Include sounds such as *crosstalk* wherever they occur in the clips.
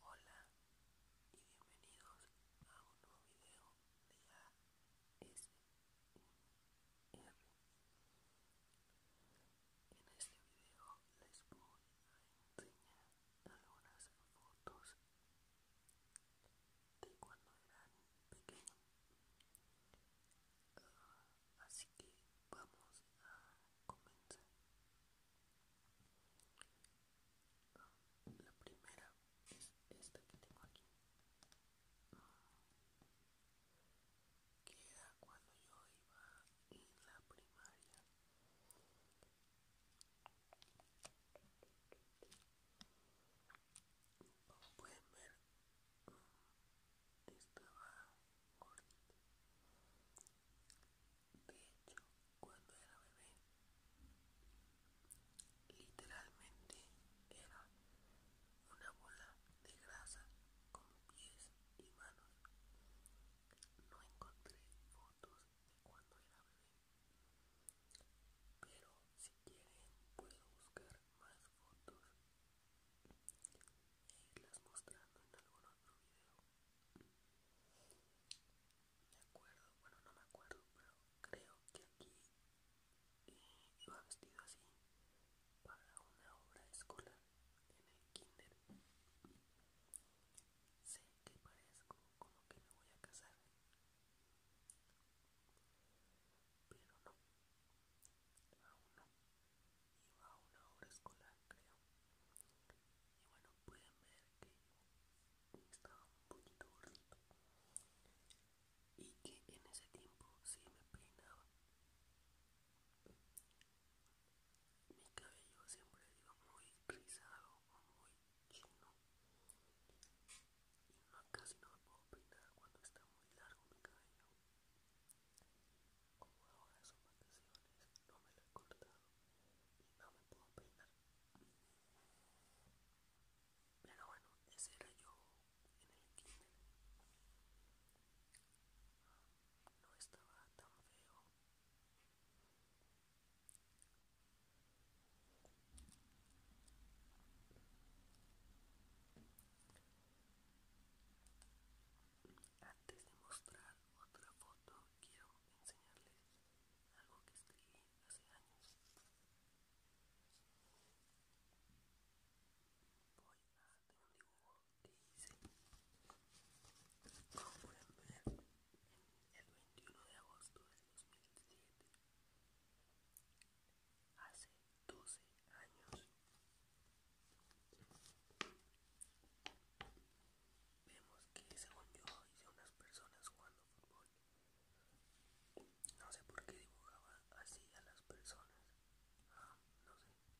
Hola y bienvenidos a un nuevo video de ASMR. En este video les voy a enseñar algunas fotos de cuando eran pequeños. Ah, así que vamos a comenzar la primera es esta que tengo aquí. queda que era cuando yo iba en la primaria. Como pueden ver, mm, estaba gordito de hecho, cuando era bebé, literalmente era una bola de grasa con pies y manos. No encontré fotos de cuando era bebé, pero si quieren puedo buscar más fotos e irlas mostrando en algún otro video. Me acuerdo, bueno, no me acuerdo, pero creo que aquí eh, iba vestido así para una obra escolar en el kinder. Sé que parezco como que me voy a casar, pero no, aún no iba a una hora escolar creo y bueno pueden ver que estaba un poquito gordito y que en ese tiempo sí me peinaba mi cabello siempre iba muy rizado o muy chino y no, casi no me puedo peinar cuando está muy largo mi cabello como ahora son vacaciones, no me lo he cortado y no me puedo peinar. Pero bueno, ese era yo en el kinder. No estaba tan feo. Antes de mostrar otra foto, quiero enseñarles algo que escribí hace años. Voy a hacer un dibujo que hice, como pueden ver, el 21 de agosto de 2017. Hace 12 años. Vemos que según yo hice unas personas jugando fútbol. No sé por qué dibujaba así a las personas. Ah, no sé.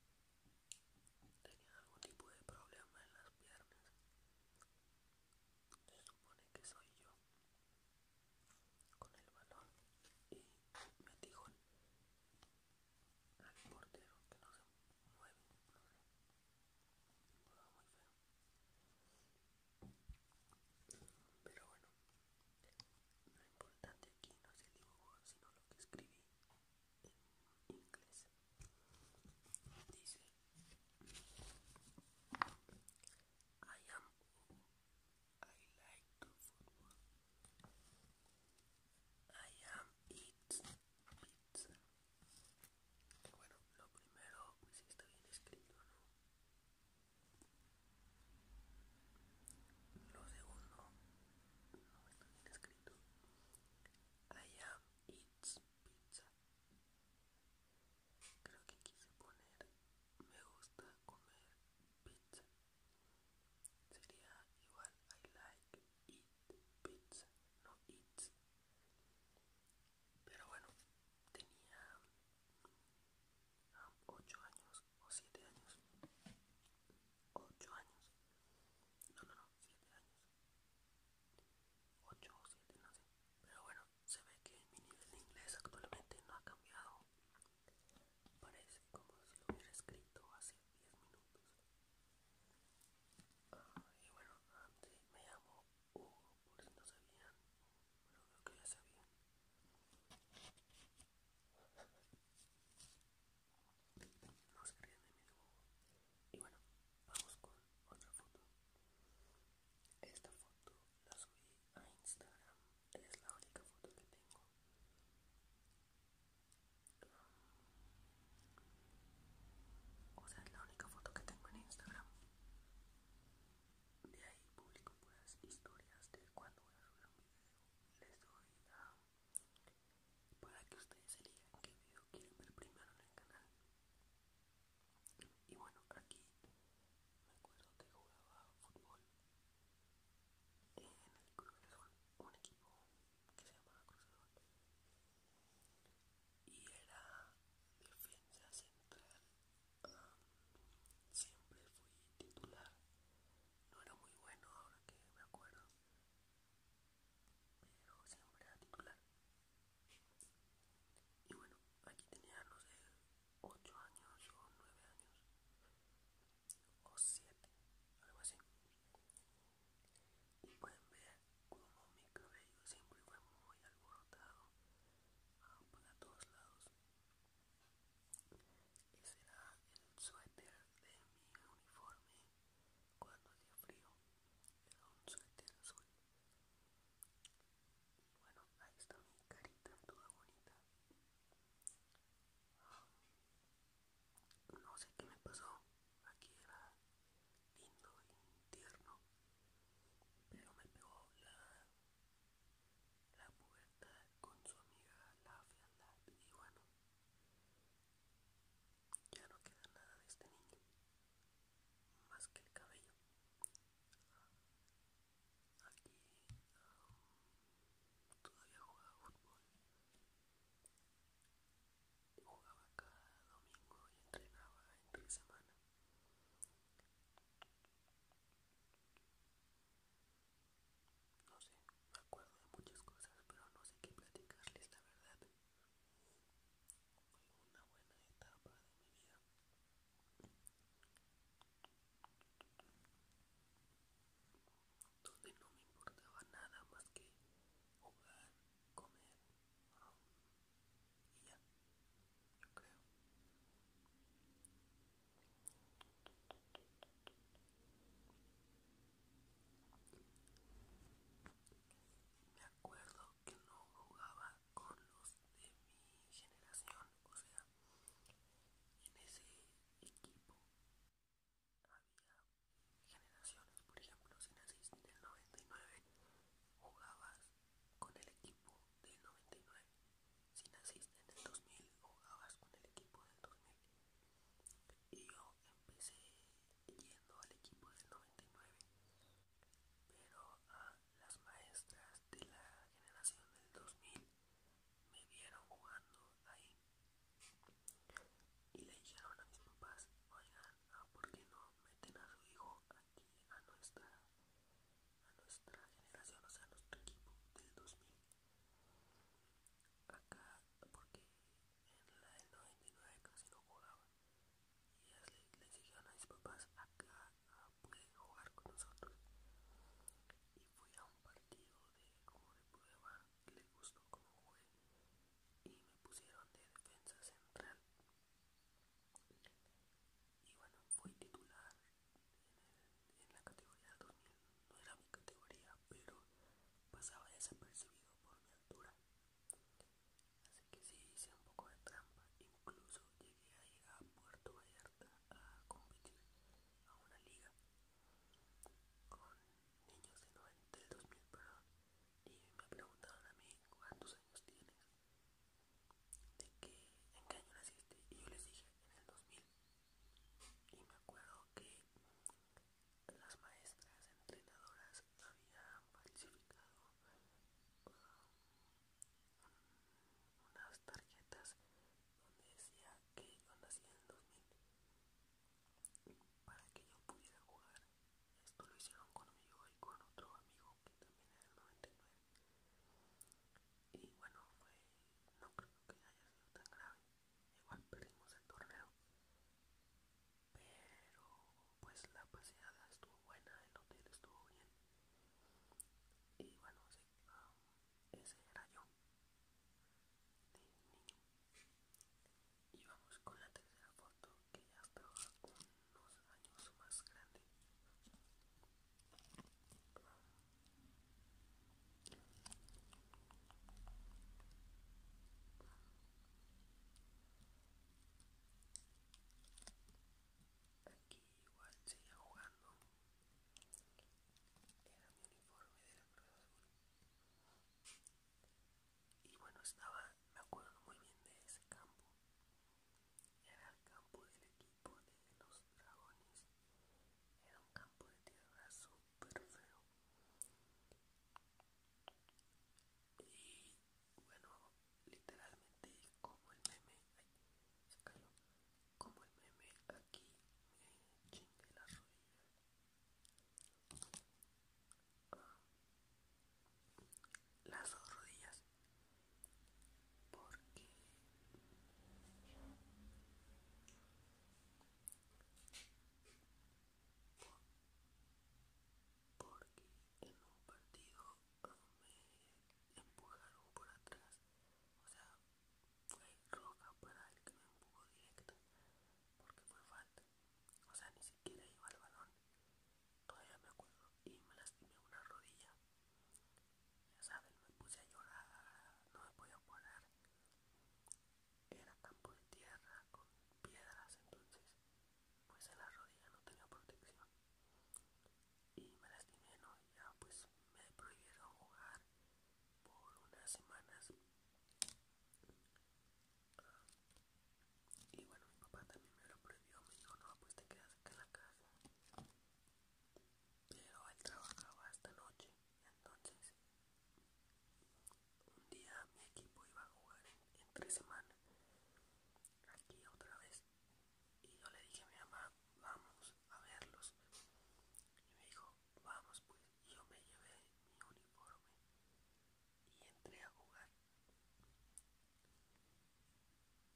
Tenían algún tipo de problema en las piernas. Se supone que soy yo con el balón y me dijo al portero que no se mueve, muy feo. Pero bueno, lo importante aquí no es el dibujo, sino lo que escribí en inglés. Dice, I am I like to football. I am eat pizza. Bueno, lo primero, si está bien escrito, ¿no? Lo segundo, no está bien escrito. I am eats pizza. Creo que quise poner me gusta comer pizza. Sería igual I like eat pizza, no eats. Pero bueno, tenía 8 um, años o 7 años. 8 años. No, no, no, 7 años. 8 o 7, no sé. Pero bueno, se ve que mi nivel de inglés actualmente no ha cambiado Parece como si lo hubiera escrito hace 10 minutos. Ah, y bueno, antes me llamo Hugo, por si no sabían, pero creo que ya sabían. No se ríen de mi Hugo Y bueno, vamos con otra foto. Esta foto la subí a Instagram es la única foto que tengo o sea es la única foto que tengo en Instagram de ahí publico pues historias de cuando voy a subir un video les doy a para que ustedes elijan qué video quieren ver primero en el canal y bueno aquí me acuerdo que jugaba fútbol en el Club un equipo que se llamaba Cruz de y era defensa central. siempre fui titular, no era muy bueno ahora que me acuerdo, pero siempre era titular. Y bueno, aquí tenía, no sé, 8 años o 9 años o 7, algo así. Y pueden ver como mi cabello siempre fue muy alborotado ah, para todos lados. Ese era el suéter de mi uniforme cuando hacía frío. Era un suéter azul. bueno, ahí está mi carita toda bonita. No sé qué me pasó. Aquí era lindo y tierno. Pero me pegó la, la pubertad con su amiga la fealdad. Y bueno, ya no queda nada de este niño. Más que el cabello aquí todavía jugaba fútbol jugaba cada domingo y entrenaba entre semana no sé, me acuerdo de muchas cosas pero no sé qué platicarles la verdad fue una buena etapa de mi vida donde no me importaba nada más que jugar, comer um, y ya, yo creo. Me acuerdo que no jugaba con los de mi generación o sea, en ese equipo había generaciones, por ejemplo, si naciste en el 99, jugabas con el equipo del 99, si naciste en el 2000, jugabas con el equipo del 2000, y yo empecé yendo al equipo del 99 pero a las maestras de la generación del 2000 me vieron jugando ahí y le dijeron a mis papás, oigan, ah, ¿por qué no meten a su hijo aquí a nuestra, a nuestra generación, o sea, a nuestro equipo del 2000? Acá, porque en la del 99 casi no jugaba. Y les dijeron a mis papás, acá ah, jugar con nosotros y fui a un partido de juego de prueba que le gustó como jugué y me pusieron de defensa central y bueno fui titular en, la categoría 2000 no era mi categoría pero pasaba desapercibido por mi altura Así que sí hice un poco de trampa, incluso llegué a a Puerto Vallarta a competir a una liga con niños de 90, del 2000, perdón, y me preguntaron a mí cuántos años tienes, de que, en qué año naciste, y yo les dije en el 2000, y me acuerdo que las maestras entrenadoras habían falsificado ah, unas tarjetas donde decía que yo nací en el 2000 para que yo pudiera jugar. Esto lo hicieron conmigo y con otro amigo que también era del 99. Y bueno, fue no creo que haya sido tan grave. Igual perdimos el torneo. Pero pues la paseada estuvo buena, el hotel estuvo bien. Y bueno, ah, ese era yo, de niño. Y vamos con la tercera foto, que ya estaba unos años más grandes Aquí igual seguía jugando. Era mi uniforme de la de Y bueno, estaba, me acuerdo muy bien de ese campo. Era el campo del equipo de los dragones. Era un campo de tierra súper feo. Y bueno, literalmente como el meme, ay, como el meme aquí me chingue la las dos rodillas porque porque en un partido eh, me empujaron por atrás, o sea, fue roca para el que me empujó directo, porque fue falta, o sea, ni siquiera iba al balón, todavía me acuerdo, y me lastimé una rodilla, ya saben, me puse a llorar, no me podía parar, era campo de tierra con piedras, entonces pues en la rodilla no tenía protección y me lastimé no ya pues me prohibieron jugar por unas semanas y bueno mi papá también me lo prohibió me dijo no pues te quedas acá en la casa pero él trabajaba hasta noche entonces un día mi equipo iba a jugar en, tres semanas aquí otra vez y yo le dije a mi mamá vamos a verlos y me dijo vamos pues y yo me llevé mi uniforme y entré a jugar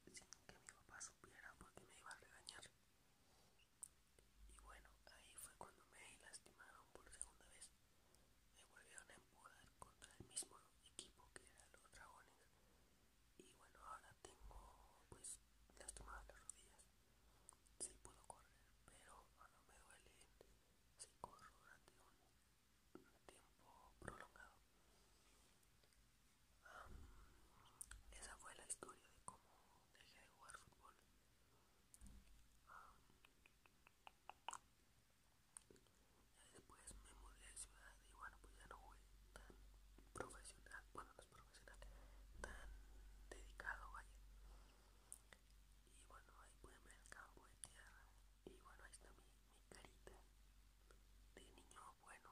sin que mi papá supiera porque me iba a regañar y bueno ahí fue cuando me lastimaron por segunda vez me volvieron a empujar contra el mismo equipo que eran los dragones y bueno ahora tengo pues tomado las rodillas Si puedo correr pero no me duele si corro durante un, tiempo prolongado esa fue la historia de cómo dejé de jugar fútbol y después me mudé de ciudad y bueno, pues ya no fui tan profesional, bueno, no es profesional, tan dedicado, vaya. Y bueno, ahí pueden ver el campo de tierra. Y bueno, ahí está mi, carita de niño bueno.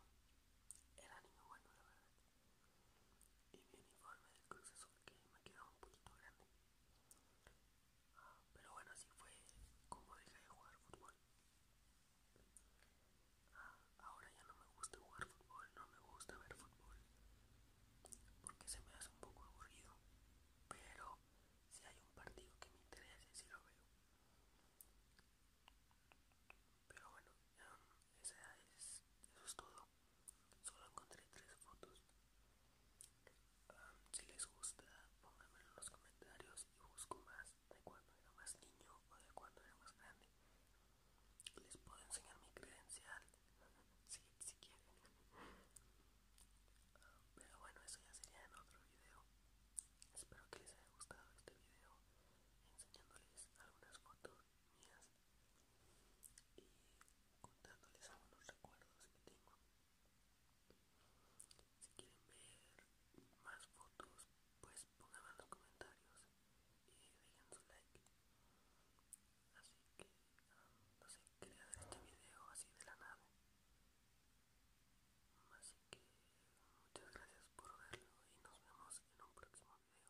Era niño bueno, la verdad. Y mi uniforme del crucesor que me quedado un poquito grande. Pero bueno, así fue como dejé de jugar fútbol. Ah, ahora ya no me gusta jugar fútbol, no me gusta ver fútbol, porque se me hace un poco aburrido. Pero si hay un partido que me interese, si sí lo veo. Pero bueno, ya, esa es, eso es todo. Solo encontré tres fotos. si les gusta, pónganmelo en los comentarios y busco más de cuando era más niño o de cuando era más grande. Les puedo enseñar mi credencial *laughs* si, quieren. pero bueno, eso ya sería en otro video. Espero que les haya gustado este video enseñándoles algunas fotos mías. Y contándoles algunos recuerdos que tengo. Si quieren ver más fotos, pues pongan en los comentarios y dejen su like. Así que, no sé, qué hacer este video así de la nada. Así que, muchas gracias por verlo y nos vemos en un próximo video.